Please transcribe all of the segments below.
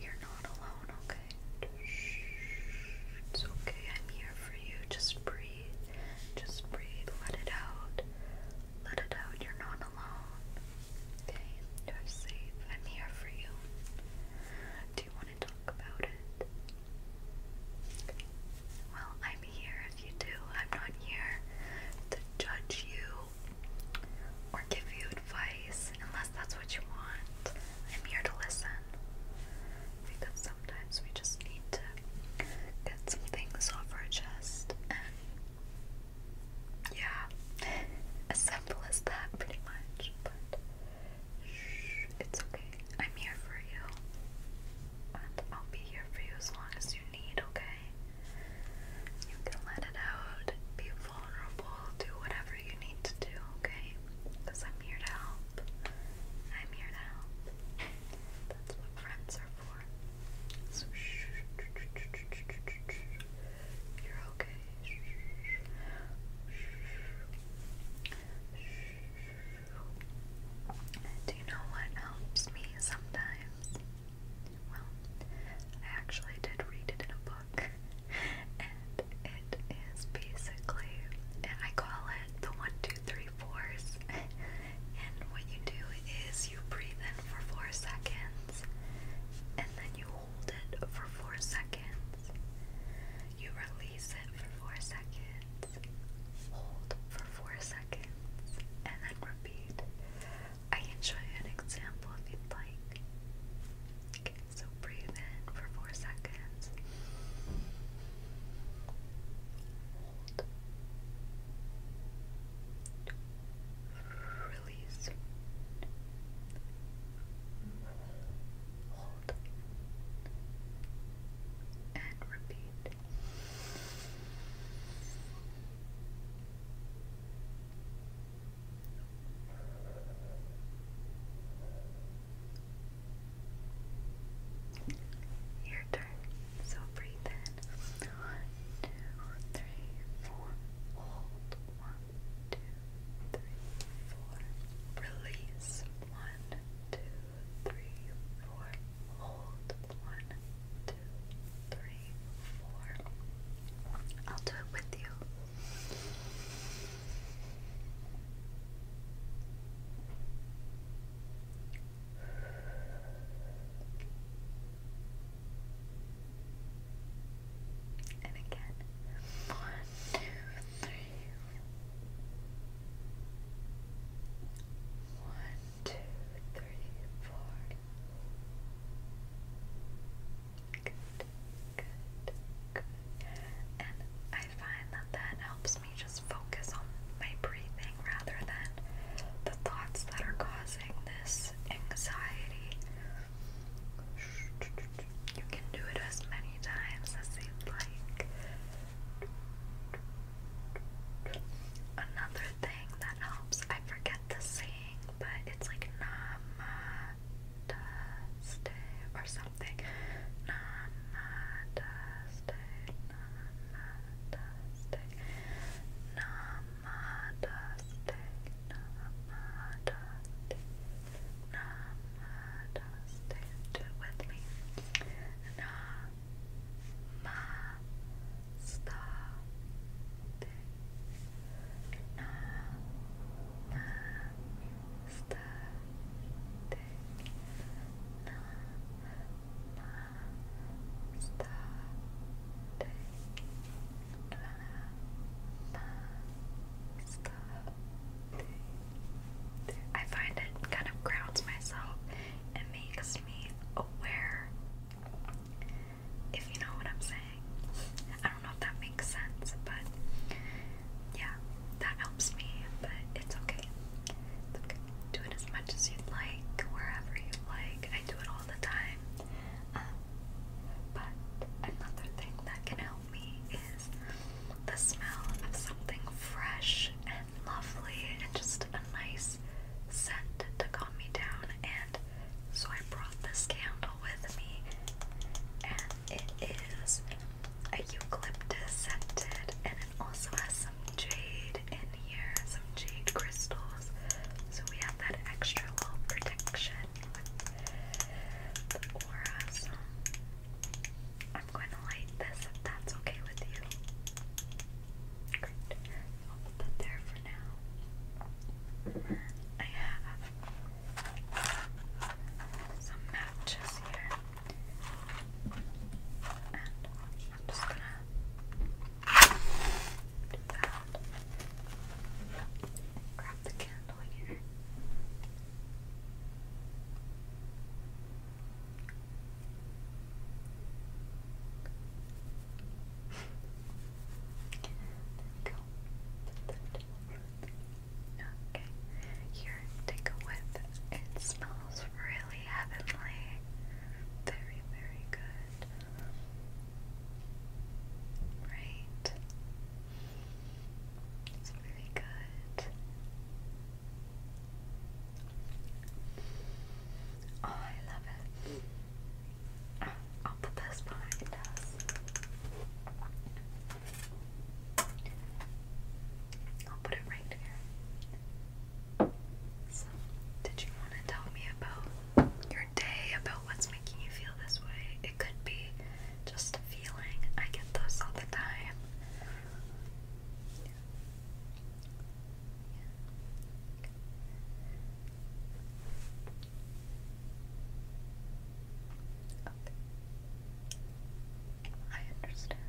You're not alone, okay? It's okay, I'm here for you. Just breathe. Just breathe. Let it out. Let it out. You're not alone. Okay? You're safe. I'm here for you. Do you want to talk about it? Well, I'm here if you do. I'm not here to judge you or give you advice unless that's what you want. I'm here to listen because sometimes we just need to get some things off our chest yeah, as simple as that, pretty much. But shh, it's okay. I'm here for you, and I'll be here for you as long as you need. Okay, you can let it out vulnerable, do whatever you need to do, okay? Because I'm here to help. I'm here to help. That's what friends are for. shh, you're okay. Shh, shh. Do you know what helps me sometimes? Well, I actually did read it in a book book, and it is basically, I call it the one, two, three, fours. and what you do is you breathe in for four seconds, and then you hold it for four seconds. You release it for four seconds, hold for four seconds, and then repeat. I enjoy an example if you'd like. Okay, so breathe in for four seconds. Hold. Release. Hold. And repeat. Your turn. So breathe in. One, two, three, four. Hold. One, two, three, four. Release. One, two, three, four. Hold. One, two, three, four. I'll do it with you. And again, one, two, three. Good good, And I find that that helps me just focus on my breathing rather than the thoughts that are causing this anxiety. You can do it as many times as you'd like. Another thing that helps, I forget the saying, but it's like Nama Namaste or something. Namaste, namaste, namaste, namaste, namaste. Do it with me. Namaste. I find it kind of grounds myself and makes me aware if you know what I'm saying. I don't know if that makes sense, but yeah, that helps me, but it's okay. It's okay. Do it as much as you'd like, wherever you like. I do it all the time. Um, but another thing that can help me is the smell of something fresh and lovely and just a nice scent to calm me down and so I brought this candle with me, and it is a eucalyptus scented, and it also has some jade in here, some jade crystals. So we have that extra little protection the aura. I'm going to light this if that's okay with you. Great. put that there for now. I have some matches here, and I'm just gonna do that. Grab the candle here. There we Okay. Here, take a whiff. It smells really heavenly. Very, very good. Right. It's really good. Oh, I love it. I'll put this behind us. I'll put it right here. So, did you want to tell me about your day, about what's making you feel this way? It could be just a feeling. I get those all the time. Okay. I understand.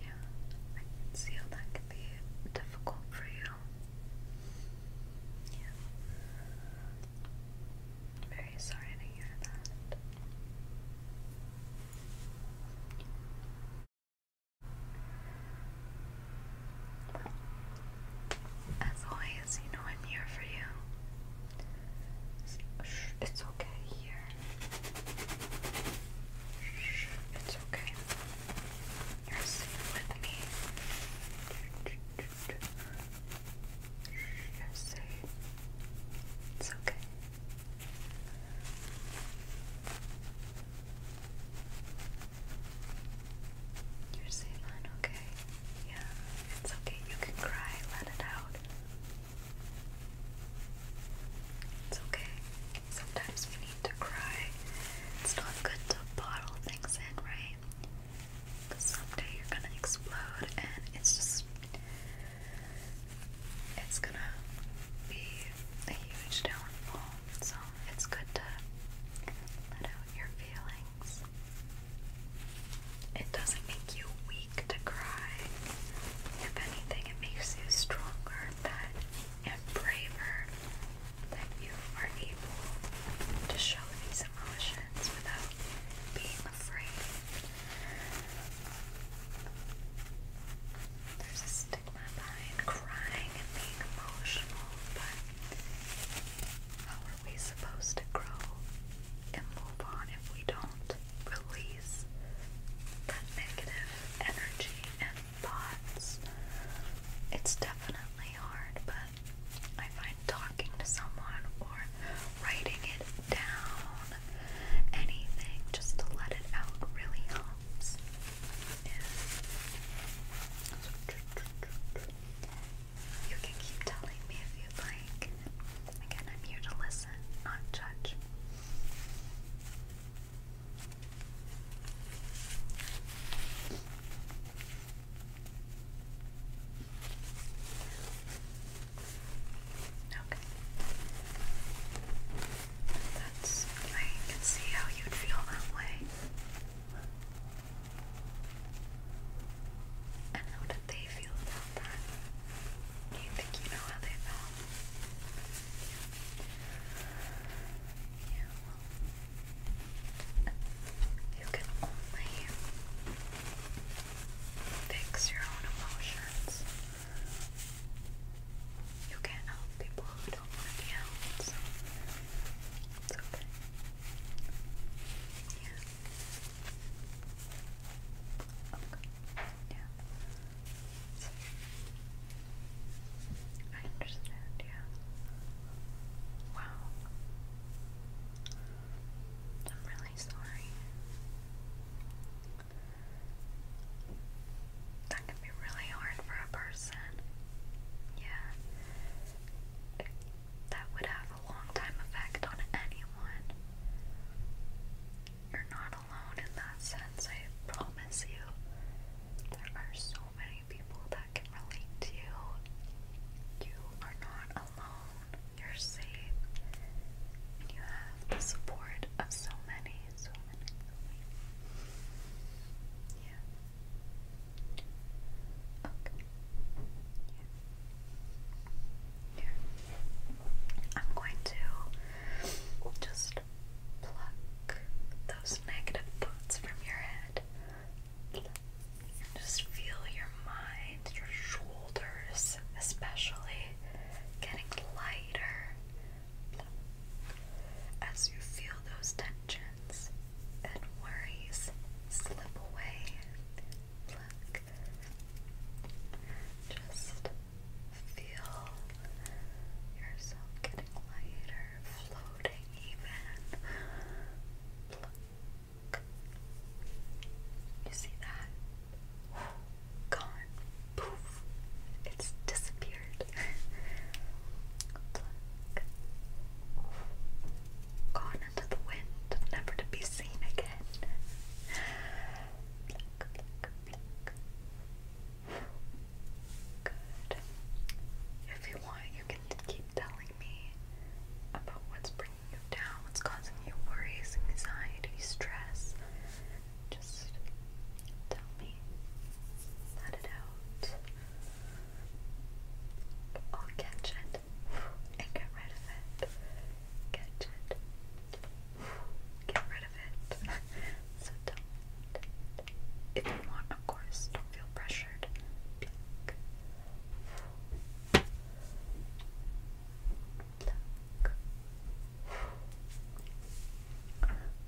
Yeah, I can see how that can be difficult for you. Yeah. very sorry to hear that. As always, you know I'm here for you. it's okay here. it's okay. You're safe with me. You're safe. It's okay. You're saying hon, okay? Yeah, it's okay. You can cry, let it out. It's okay. Sometimes we need to cry. It's not good to bottle things in, right? Because someday you're gonna explode and it's just. It's gonna be a huge downfall. So it's good to let out your feelings. It doesn't make you weak to cry. If anything, it makes you stronger and braver that you are able to show these emotions without being afraid. There's a stigma behind crying and being emotional, but how are we supposed to grow and move on if we don't release that negative energy and thoughts? It's definitely hard, but I find talking to someone or writing it down, anything just to let it out really helps helps you can keep telling me if you like. Again, I'm here to listen, not judge. Okay. That's I can see how you feel that way. And how did they feel about that? Do you think you know how they felt? Yeah. well, you can only fix your own emotions. You can't help people who don't want to it's okay. Yeah. Okay. Yeah. I understand, yeah. Wow. I'm really sorry that can be really hard for a person. Yeah. That would have a long time effect on anyone. You're not alone in that sense, I promise you. There are so many people that can relate to you. You are not alone. You're safe. And you have the support of so many, so many, so Yeah. Okay. Yeah. I'm going to just pluck those negative thoughts from your head. Just feel your mind, your shoulders, especially getting lighter as you feel those tensions and worries slip away, Just feel yourself getting lighter, floating even. You see that? Gone. Poof. It's disappeared weird. Gone into the wind, never to be seen again. If you want, you can keep telling me about what's bringing you down, what's causing you worries, anxiety, stress. Just tell me. Let it out. Or catch it and get rid of it. Catch it. Get rid of it. so don't. If you want, of course, don't feel pressured. Pluck.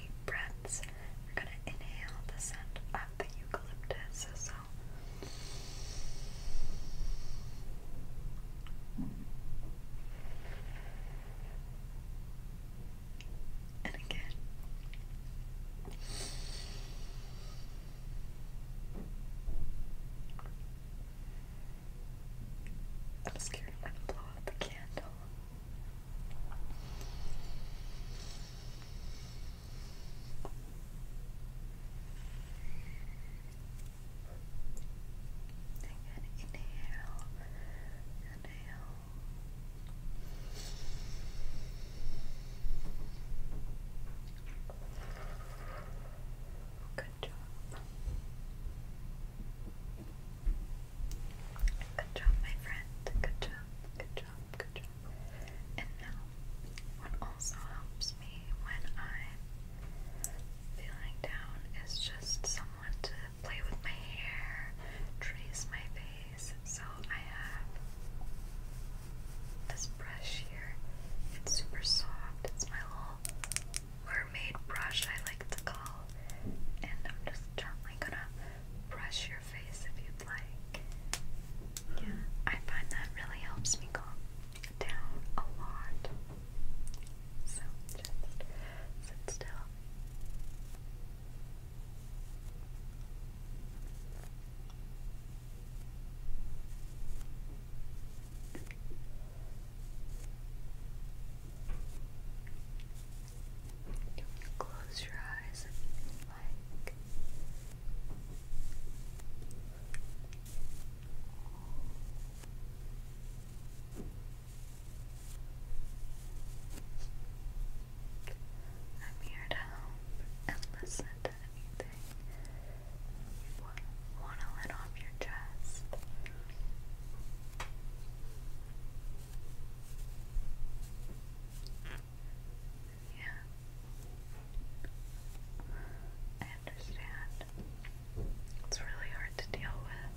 deep breaths. We're gonna inhale the scent of the eucalyptus. So and again. I'm scared to blow out the candle. Again, inhale, inhale. Good job. Good job, my friend. Good job, good job, good job. And now, what also helps me when I'm feeling down is just someone to play with my hair, trace my face. So I have this brush here. It's super soft. It's my little mermaid brush, I like to call. And I'm just gently gonna brush your face if you'd like. Yeah, I find that really helps me calm down a lot. So just sit still. You can close your eyes if you like. I'm here to help and listen to anything you want to let off your chest. Yeah. I understand. It's really hard to deal with.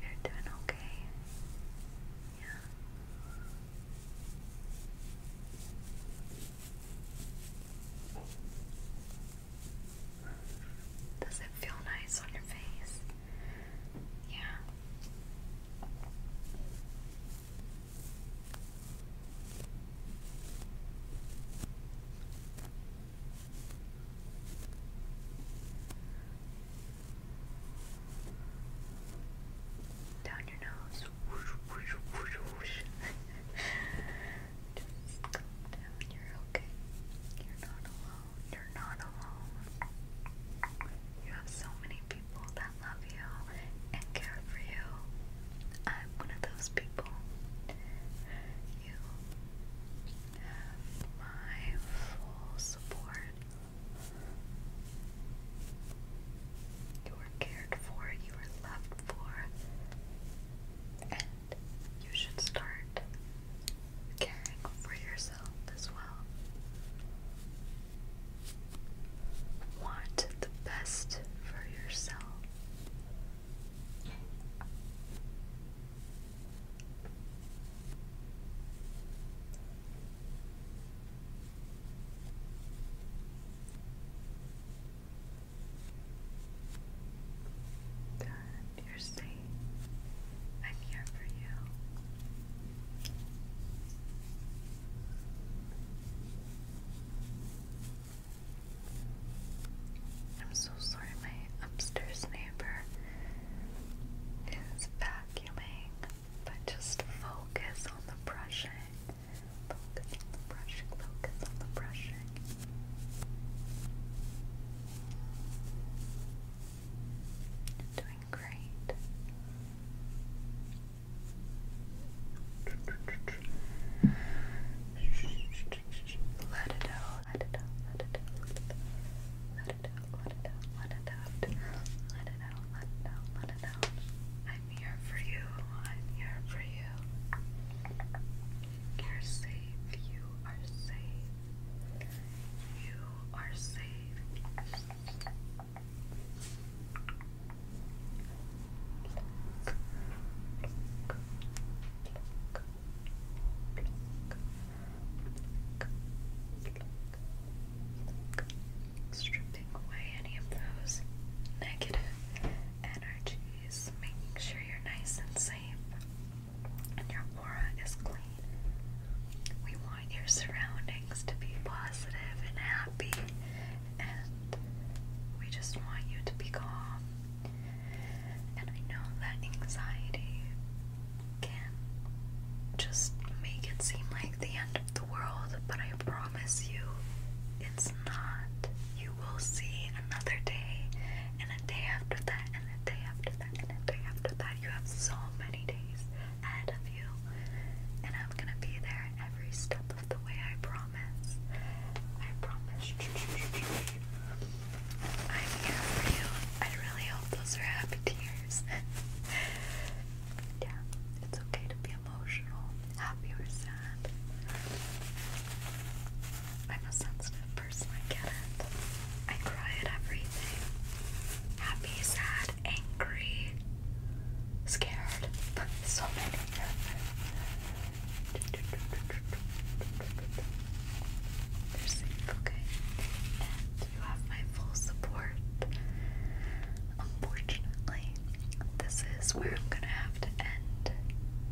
You're doing okay. Yeah. Does it feel nice on your face? Yeah. Down your nose. Just calm down. You're okay. You're not alone. You're not alone. You have so many people that love you and care for you. I'm one of those people. You have my full support. You are cared for, you are loved for, and you should start caring for yourself as well. Want the best for yourself. Done. You're safe. I'm here for you. I'm so sorry my upstairs neighbor is vacuuming, but just focus on the brushing. brushing, focus on the brushing. doing great. Let it out let it out, let it out, let it out, let it out, let it out, let it out, let it out, let it out, I'm here for you, I'm here for you. You're safe, you are safe, you are safe. Stripping away any of those negative energies, making sure you're nice and safe and your aura is clean. We want your surroundings to be positive and happy, and we just want you to be calm and I know that anxiety can just make it seem like the end of the world, but I promise you it's not. You will see another day, and a day after that, and a day after that, and a day after that. You have so many days ahead of you, and I'm gonna be there every step of the way, I promise. I promise. I'm here for you. I really hope those are happy tears. yeah, it's okay to be emotional, happy or sad. I'm a sensitive person, I get it. I cry at everything. Happy, sad, angry, scared. so many. They're safe, okay? you have my full support. Unfortunately, this is where I'm gonna have to end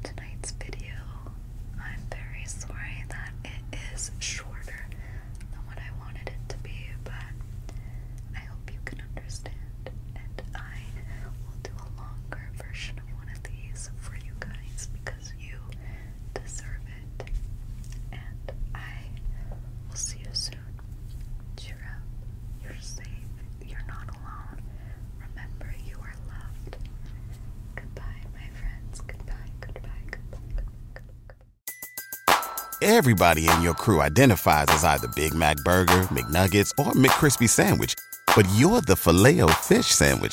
tonight's video. I'm very sorry that it is shorter than what I wanted it to be, but I hope you can understand. And I will do a longer version of one of these for you guys because you deserve it. And I will see you soon. Cheer up. You're safe. You're not alone. Remember, you are loved. Goodbye, my friends. Goodbye, goodbye, goodbye, goodbye. Everybody in your crew identifies as either Big Mac Burger, McNuggets, or McCrispy Sandwich, but you're the Filet-O-Fish Sandwich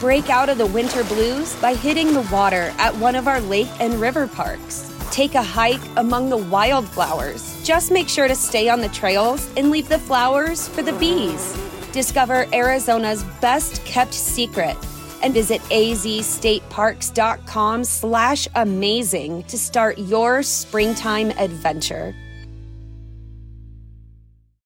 Break out of the winter blues by hitting the water at one of our lake and river parks. Take a hike among the wildflowers. Just make sure to stay on the trails and leave the flowers for the bees. Discover Arizona's best kept secret and visit azstateparks.com slash amazing to start your springtime adventure.